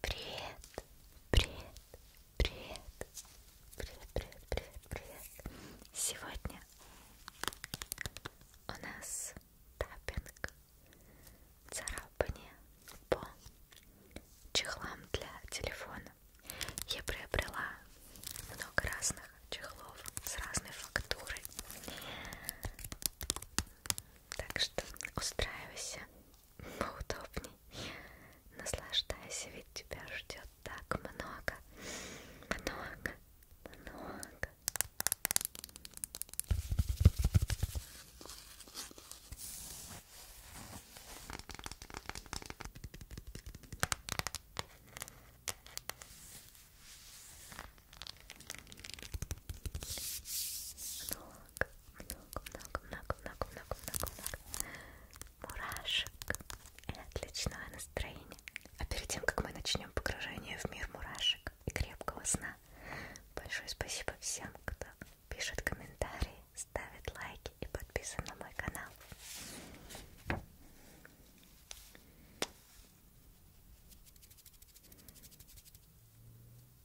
Привет, привет, привет, привет, привет, привет, привет. Сегодня у нас таппинг, царапание по чехлам для телефона. Я приобрела много разных чехлов с разной фактурой. Так что устраивайся поудобней. Наслаждайся, ведь тебя ждет так много, много, много. Ну много-много-много-много-много-много мурашек и отличного настроения. А перед тем, как мы начнем погружение в мир мурашек и крепкого сна, большое спасибо всем, кто пишет комментарии, ставит лайки и подписан на мой канал.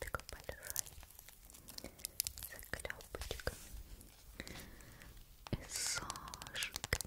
Такой большой заклепочка и сошек. Такой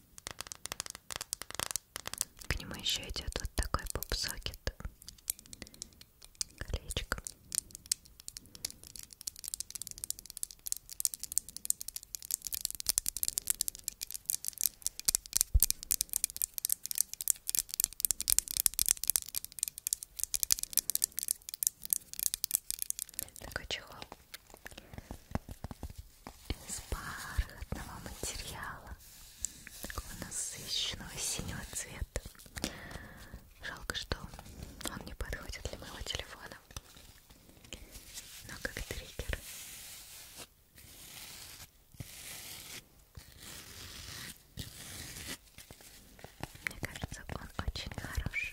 К нему еще идет вот такой поп-сокет. Колечко. Такой а чехол из бархатного материала, такого насыщенного синего цвета. Жалко, что он не подходит для моего телефона, но как триггер. Мне кажется, он очень хорош.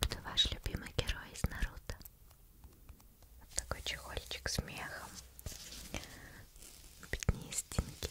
Кто ваш любимый герой из Наруто? Вот такой чехольчик с мехом. Пятни из стенки.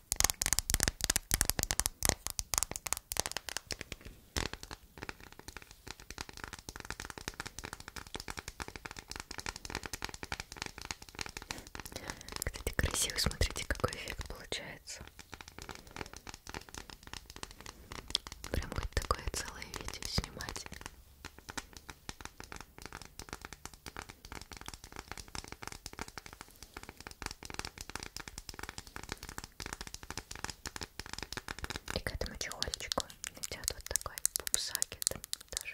Кстати, красиво, смотрите, какой эффект получается. Прям хоть такое целое видео снимать. И к этому чехольчику идет вот такой пупсакет даже.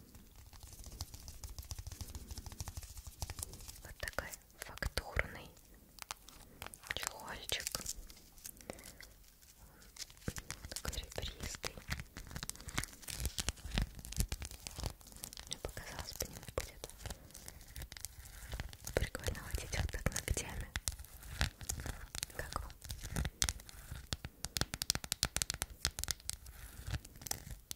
Вот такой фактурный чехольчик. Такой ребристый. Мне показалось, по нему будет прикольно водить вот так ногтями. Как вам?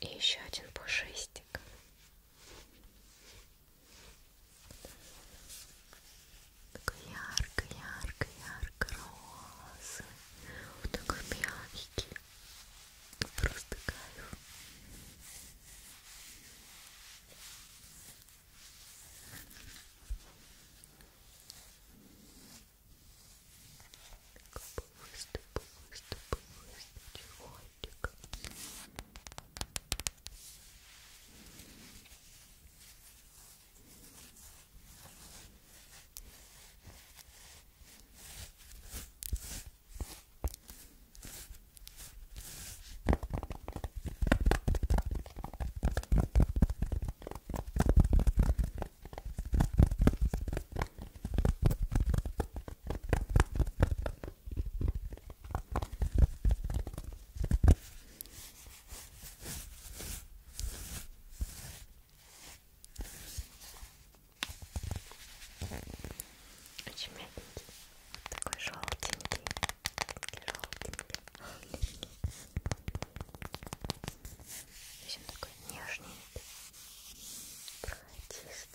И еще один пушистик. Такой ярко, ярко, ярко розы. Вот такой мягкий. Просто кайф выступу, выступу, выступу, очень мягенький, такой желтенький желтенький, желтенький. Здесь он такой нежный, прохотистый.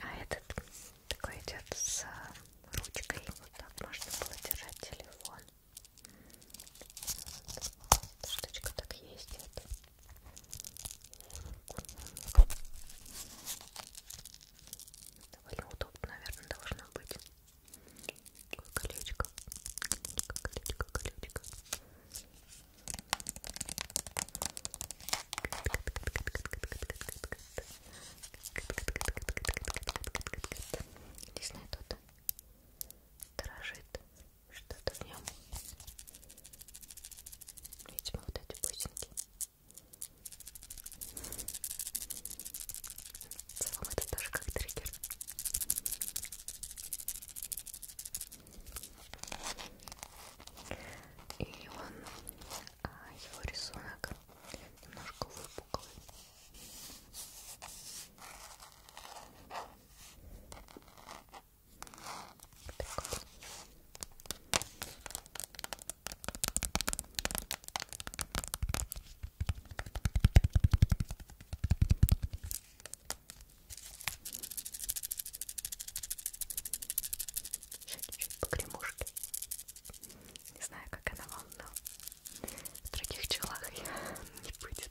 А этот такой идет с э, ручкой, вот так можно было держать телефон. Вот, вот, штучка так есть. Это. Довольно удобно, наверное, должно быть. Такое колечко. Колечко, колечко. Здесь на тут дрожит что-то в нем. Видимо, вот эти бусинки. В целом это тоже как триггер. И он, а, его рисунок немножко выпуклый. Прикольно. Еще чуть-чуть погремушки. Не знаю, как она вам, но в других челах я не будет.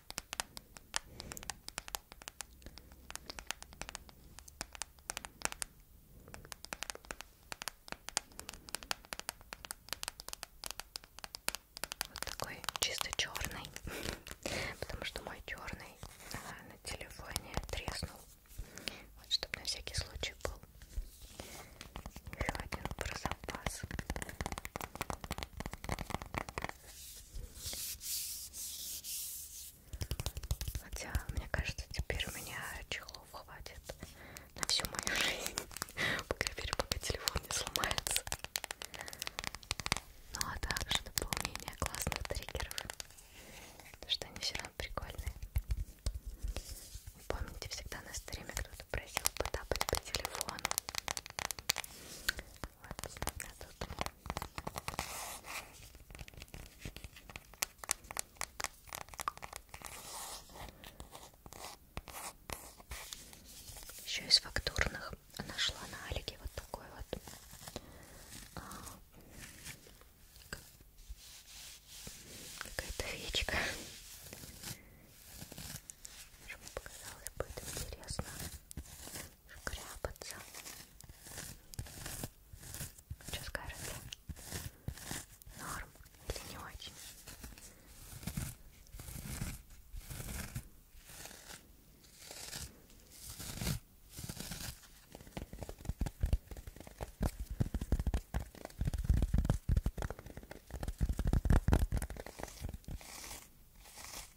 Вот такой чисто черный, потому что мой черный а, на телефоне треснул. Вот чтобы на всякий случай был еще один про запас. Хотя, мне кажется, теперь у меня чехлов хватит на всю мою жизнь. По крайней мере, пока телефон не сломается. Ну а также дополнение классных триггеров. Потому что они всегда прикольные. И помните, всегда на стриме кто-то просил потапать по телефону. Еще из фактурных нашла на Алике вот такой вот а, какая-то феечка. Мне показалось бы это интересно шкряпаться. Что скажете? Норм или не очень?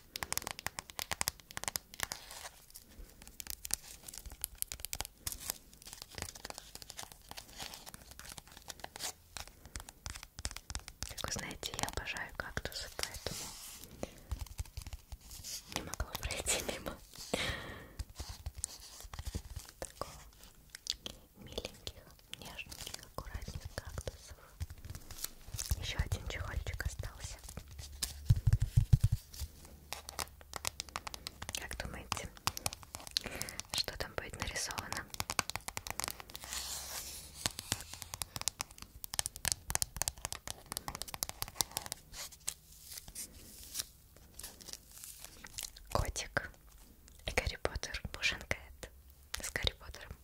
Как вы знаете, я обожаю кактусы, поэтому не могла пройти мимо такого миленьких, нежненьких, аккуратных кактусов. Еще один чехольчик остался. Как думаете, что там будет нарисовано? Котик и Гарри Поттер Бушенкает с Гарри Поттером.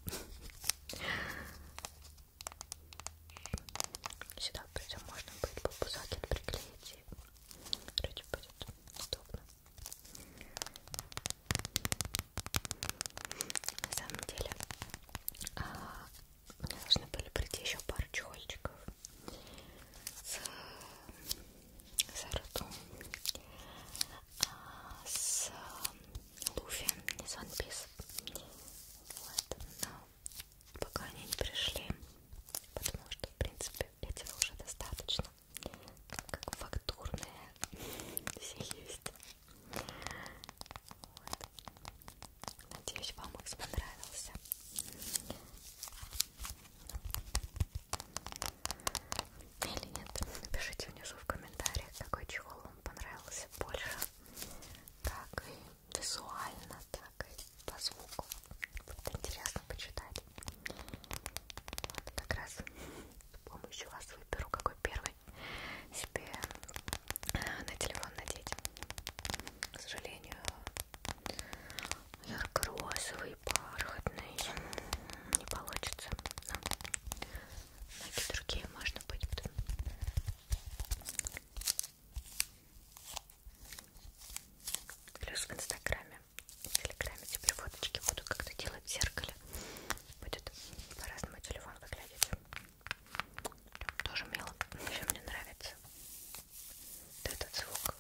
Сюда придем, можно будет попузакет приклеить и вроде будет удобно. На самом деле, а, мне должны были прийти еще пару чехольчиков с, с ртом с э, Луфи из One Piece. Вот, но пока они не пришли, потому что, в принципе, этого уже достаточно. Как фактурные все есть. Вот. Надеюсь, вам их понравился или нет. Напишите внизу в комментариях, какой чехол вам понравился больше, как и визуально, так и по звуку. Будет интересно почитать. Вот как раз с помощью вас выберу, какой первый себе э, на телефон надеть. К сожалению, ярко-розовый, бархатный не получится. Но ноги другие можно быть потом. Плюс в инстаграме, в телеграме теперь фоточки буду как-то делать в зеркале. Будет по-разному телефон выглядеть. Тоже мило. Еще мне нравится вот этот звук.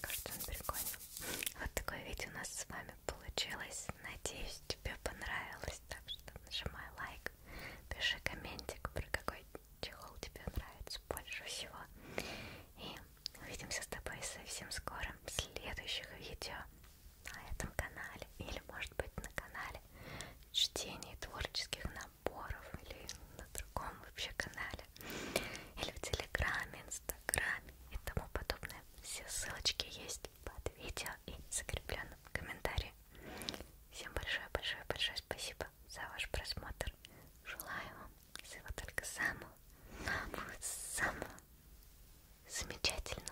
Кажется, он прикольный. Вот такое видео у нас с вами получилось. Надеюсь, тебе понравилось. Так что нажимай лайк, пиши комментик, про какой чехол тебе нравится больше всего. И Увидимся с тобой совсем скоро в следующих видео на этом канале или может быть на канале чтений творческих наборов или на другом вообще канале или в телеграме, инстаграме и тому подобное. Все ссылочки есть под видео и закрепленном комментарии. Всем большое-большое-большое спасибо за ваш просмотр. Желаю вам всего только самого, самого, самого замечательного.